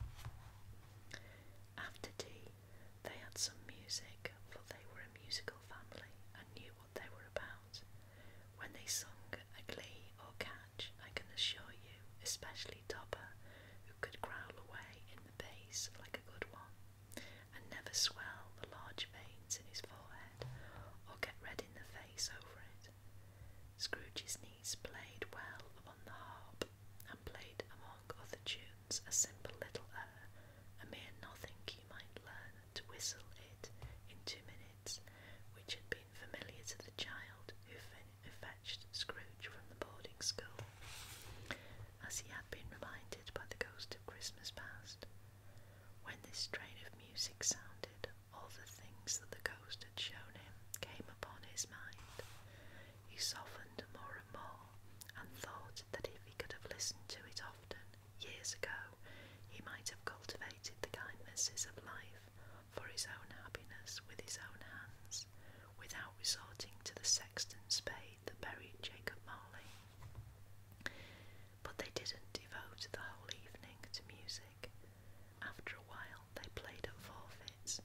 After tea, they had some music, for they were a musical family and knew what they were about. When they sung a glee or catch, I can assure you, especially Topper, who could growl away in the bass like a good one, and never swell the large veins in his forehead or get red in the face over it. Scrooge's niece played well upon the harp and played among other tunes a simple little air, er, a mere nothing you might learn to whistle it in two minutes, which had been familiar to the child who, who fetched Scrooge from the boarding school as he had been reminded by the ghost of Christmas past. When this strain of music sounded, all the things that the ghost had shown him came upon his mind. He softened more and more, and thought that if he could have listened to it often, years ago, he might have cultivated the kindnesses of life for his own happiness with his own hands, without resorting to the sexton's spade that buried Jacob Marley. But they didn't devote the whole evening to music. After a while, they played at forfeits,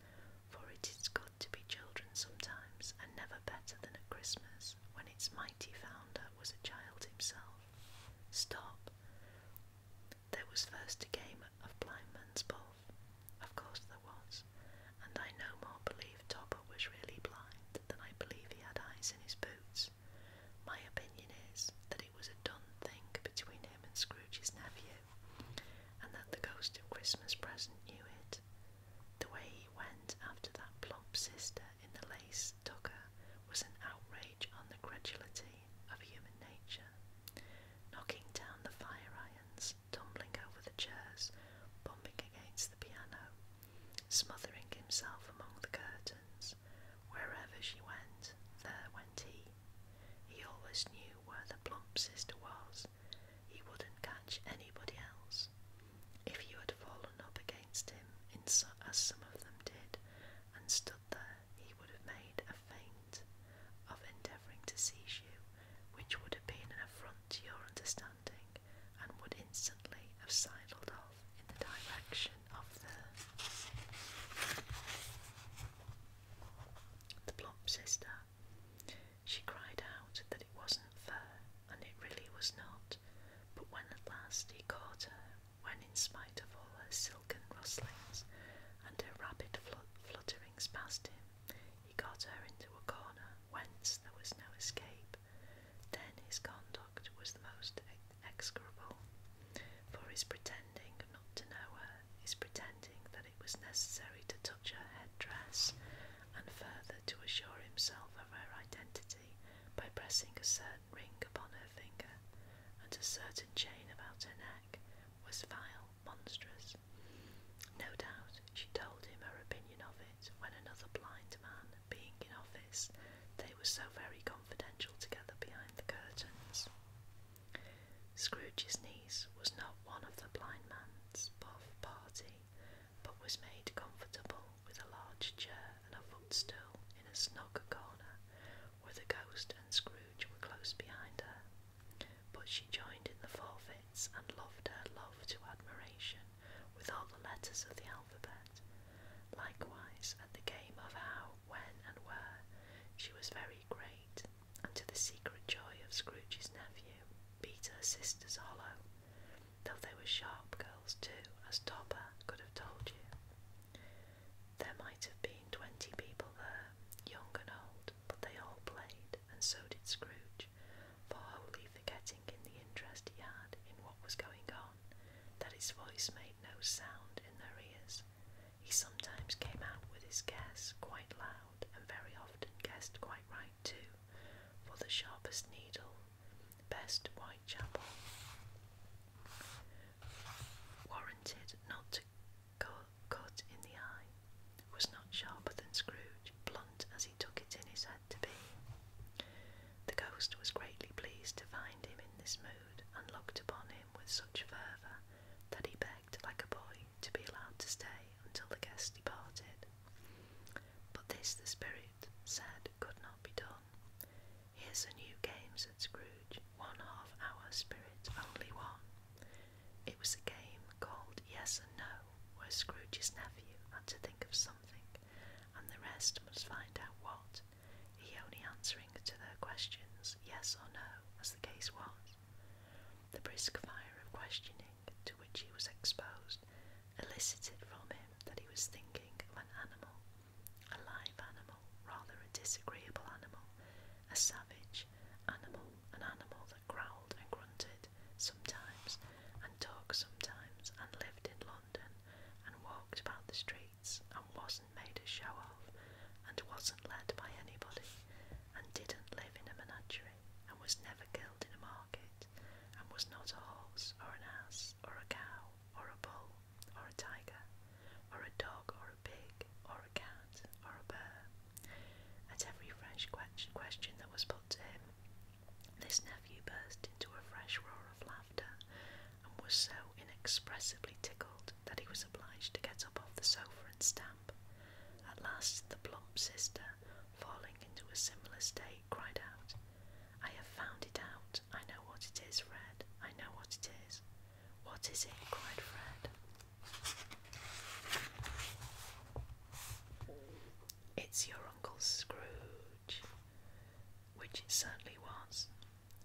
for it is good to be children sometimes, and never better than at Christmas, when its mighty founder was a child himself. Stop! There was first a game of blind man's buff. Of course there was and I no more believe Topper was really blind than I believe he had eyes in his boots. My opinion is that it was a done thing between him and Scrooge's nephew, and that the ghost of Christmas present knew it. The way he went after that plump sister in the lace tucker was an outrage on the credulity of human nature. Knocking down the fire irons, tumbling over the chairs, bumping against the piano, smothering himself among the curtains. Wherever she went, there went he. He always knew where the plump sister was. He wouldn't catch anybody else. If you had fallen up against him, as some of them did, and stood there, he would have made a feint of endeavouring to seize you, which would have been an affront to your understanding and would instantly have sidled off in the direction of the the plump sister. She cried out that it wasn't fair, and it really was not, but when at last he caught her, when in spite of all her silken rustlings and her rapid flutterings past him, he got her into a corner whence there was no escape then his conduct was the most execrable, for his pretending not to know her, his pretending that it was necessary to touch her headdress, and further to assure himself of her identity by pressing a certain ring upon her finger and a certain chain about her neck, was vile, monstrous. No doubt she told him her opinion of when another blind man being in office, they were so very confidential together behind the curtains. Scrooge's niece was not one of the blind man's party, but was made comfortable with a large chair and a footstool in a snug corner, where the ghost and Scrooge were close behind her. But she joined in the forfeits and loved her love to admiration with all the letters of the alphabet. Likewise, at the game of how, when, and where, she was very great, and to the secret joy of Scrooge's nephew, beat her sisters hollow, though they were sharp girls too, as Topper could have told you. There might have been twenty people there, young and old, but they all played, and so did Scrooge, for wholly forgetting in the interest he had in what was going on that his voice made no sound in their ears. He sometimes came out with his guess quite loud and very often guessed quite right too, for the sharpest needle, best Whitechapel, warranted not to cut in the eye, was not sharper than Scrooge, blunt as he took it in his hand to be. The ghost was greatly pleased to find him in this mood and looked upon him with such fervour that he begged, like a boy, to be allowed to stay until the guests departed. But this the spirit said could not be done. Here's a new game, said Scrooge, one half hour spirit, only one. It was a game called Yes and No, where Scrooge's nephew had to think of something and the rest must find out what, he only answering to their questions yes or no, as the case was. The brisk fire of questioning to which he was exposed elicited from him that he was thinking of an animal, a live animal, rather a disagreeable animal, a savage animal, an animal that growled and grunted sometimes, and talked sometimes, and lived in London, and walked about the streets, and wasn't made a show of, and wasn't led by anybody, and didn't live in a menagerie, and was never killed in a market, and was not a horse, or an ass, or a cow, or a bull, or a tiger, or a dog, or a pig, or a cat, or a bear. At every fresh question that was put to him, this nephew burst into a fresh roar of laughter, and was so inexpressibly tickled that he was obliged to get up off the sofa and stamp. At last, the plump sister, falling into a similar state, cried out, I have found it out. I know what it is, Fred. I know what it is. What is it? cried Fred. It's your Uncle Scrooge, which it certainly was.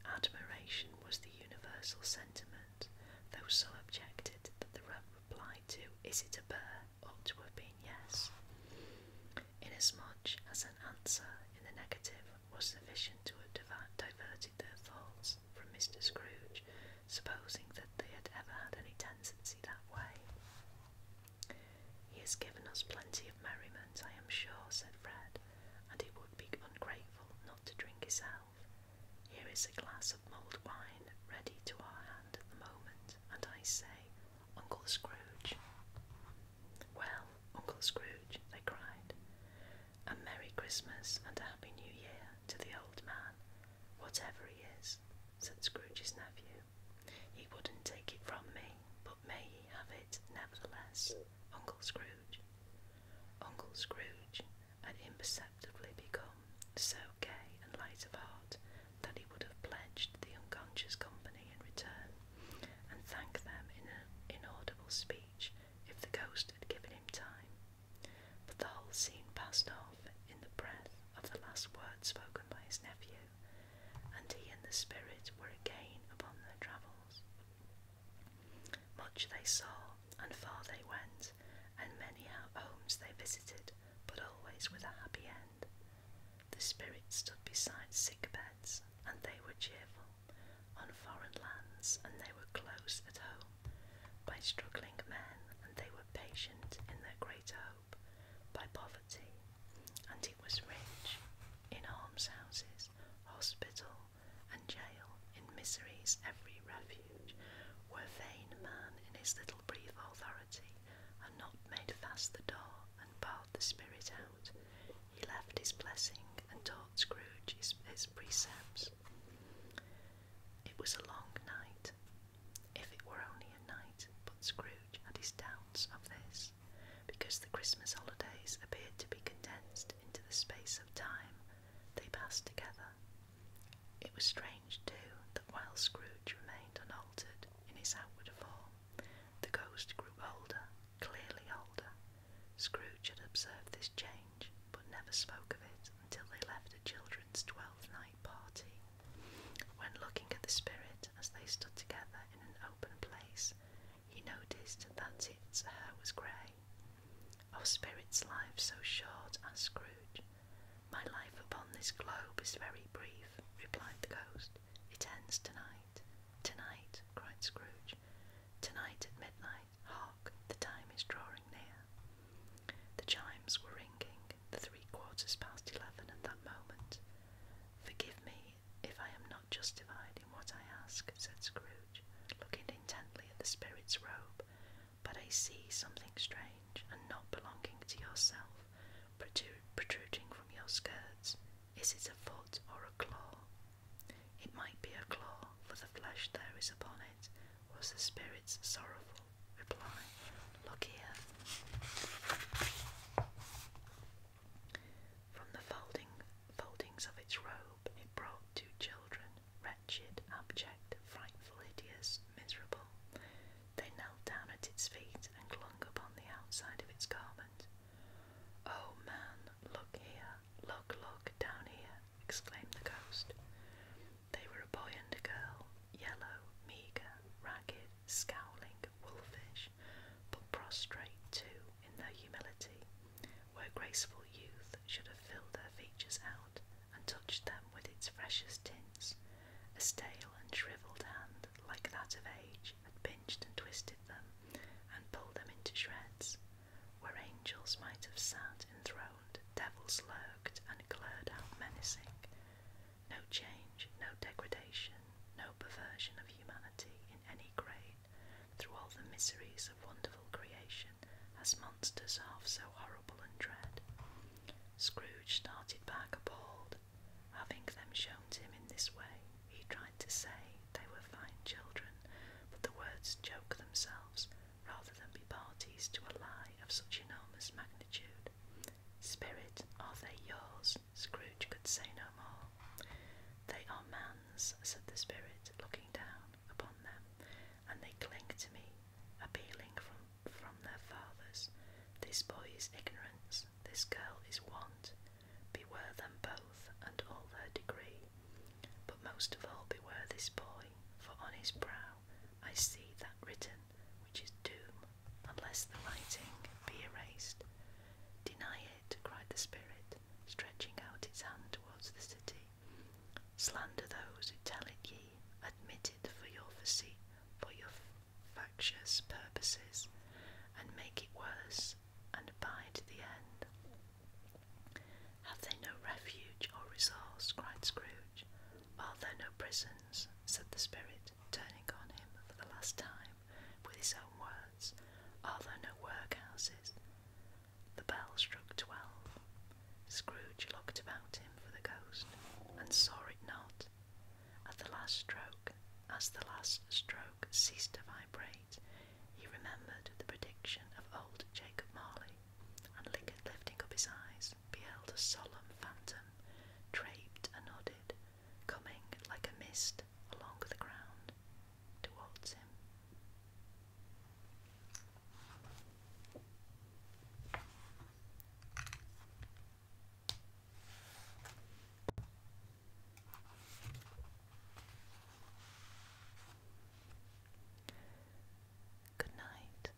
Admiration was the universal sentiment, though so objected that the reply to Is it a bear ought to have been yes, inasmuch as an answer in the negative was sufficient to have diverted their thoughts from Mr. Scrooge, supposing that they had ever had any tendency that way. He has given us plenty of merriment, I am sure, said Fred, and it would be ungrateful not to drink his health. Here is a glass of mulled wine ready to our hand at the moment, and I say, Uncle Scrooge. Well, Uncle Scrooge, they cried, a Merry Christmas and a Happy New Year to the old man, whatever he is, said Scrooge's nephew. He wouldn't take it from me, but may he have it nevertheless. Uncle Scrooge. Uncle Scrooge had imperceptibly become so gay and light of heart that he would have pledged the unconscious company in return and thanked them in an inaudible speech if the ghost had given him time. But the whole scene passed off in the breath of the last word spoken by his nephew, and he and the spirit were again upon their travels. Much they saw, and far they went, and many homes they visited, but always with a happy end. The spirit stood beside sick beds, and they were cheerful, on foreign lands, and they were close at home, by struggling men, and they were patient in their greater. home by poverty, and it was rich in almshouses, hospital, and jail, in misery's every refuge, were vain man in his little brief authority and not made fast the door and barred the spirit out. He left his blessing and taught Scrooge his, his precepts. It was a long night. If it were only night, but Scrooge had his doubts of this, because the Christmas holidays appeared to be condensed into the space of time they passed together. It was strange, too, that while Scrooge remained unaltered in his outward form, the ghost grew older, clearly older. Scrooge had observed this change, but never spoke of it until they left the children's twelfth night party when looking at the spirit as they stood together in an open place, he noticed that its hair was grey. Of spirits' life so short, asked Scrooge. My life upon this globe is very brief, replied the ghost. It ends tonight. Tonight, cried Scrooge. Tonight at midnight, hark, the time is drawing near. The chimes were ringing the three quarters past eleven at that moment. Forgive me if I am not justified in what I ask, said Scrooge, looking intently at the spirit's robe, but I see something strange and not belonging to yourself protruding from your skirts. Is it a foot or a claw? It might be a claw, for the flesh there is upon it, was the spirit's sorrowful reply. Look here. From the folding foldings of its robe, it brought two children, wretched, abject, frightful, hideous, miserable. They knelt down at its feet and clung upon the outside of its garment. Oh man, look here, look, look, down here, exclaimed the ghost. They were a boy and a girl, yellow, meagre, ragged, scowling, wolfish, but prostrate too in their humility, where graceful youth should have filled their features out and touched them with its freshest tints. A stale and shrivelled hand, like that of age, had pinched and twisted them and pulled them into shreds, where angels might have sat enthroned, devils lurked and glared out menacing no change, no degradation, no perversion of humanity in any grade, through all the miseries of wonderful creation, as monsters half so horrible and dread. Scrooge started back appalled. Having them shown to him in this way, he tried to say they were fine children, but the words choked themselves rather than be parties to a lie of such enormous magnitude. Spirit, are they yours? Scrooge could say no more. They are man's, said the spirit, looking down upon them, and they cling to me, appealing from, from their fathers. This boy is ignorance, this girl is want. Beware them both and all their degree. But most of all, beware this boy, for on his brow I see that written which is doom unless the writing be erased. Deny it, cried the Spirit, stretching out its hand towards the city. Slander those who tell it ye, admit it for your facet, for your factious purposes, and make it worse, and abide the end. Have they no refuge or resource? cried Scrooge. Are there no prisons? said the Spirit turning on him for the last time with his own words, Are there no workhouses? The bell struck twelve. Scrooge looked about him for the ghost, and saw it not. At the last stroke, as the last stroke ceased to vibrate, he remembered the prediction of old Jacob Marley, and lifting up his eyes, beheld a solemn phantom, draped and hooded, coming like a mist along the ground towards him. Good night.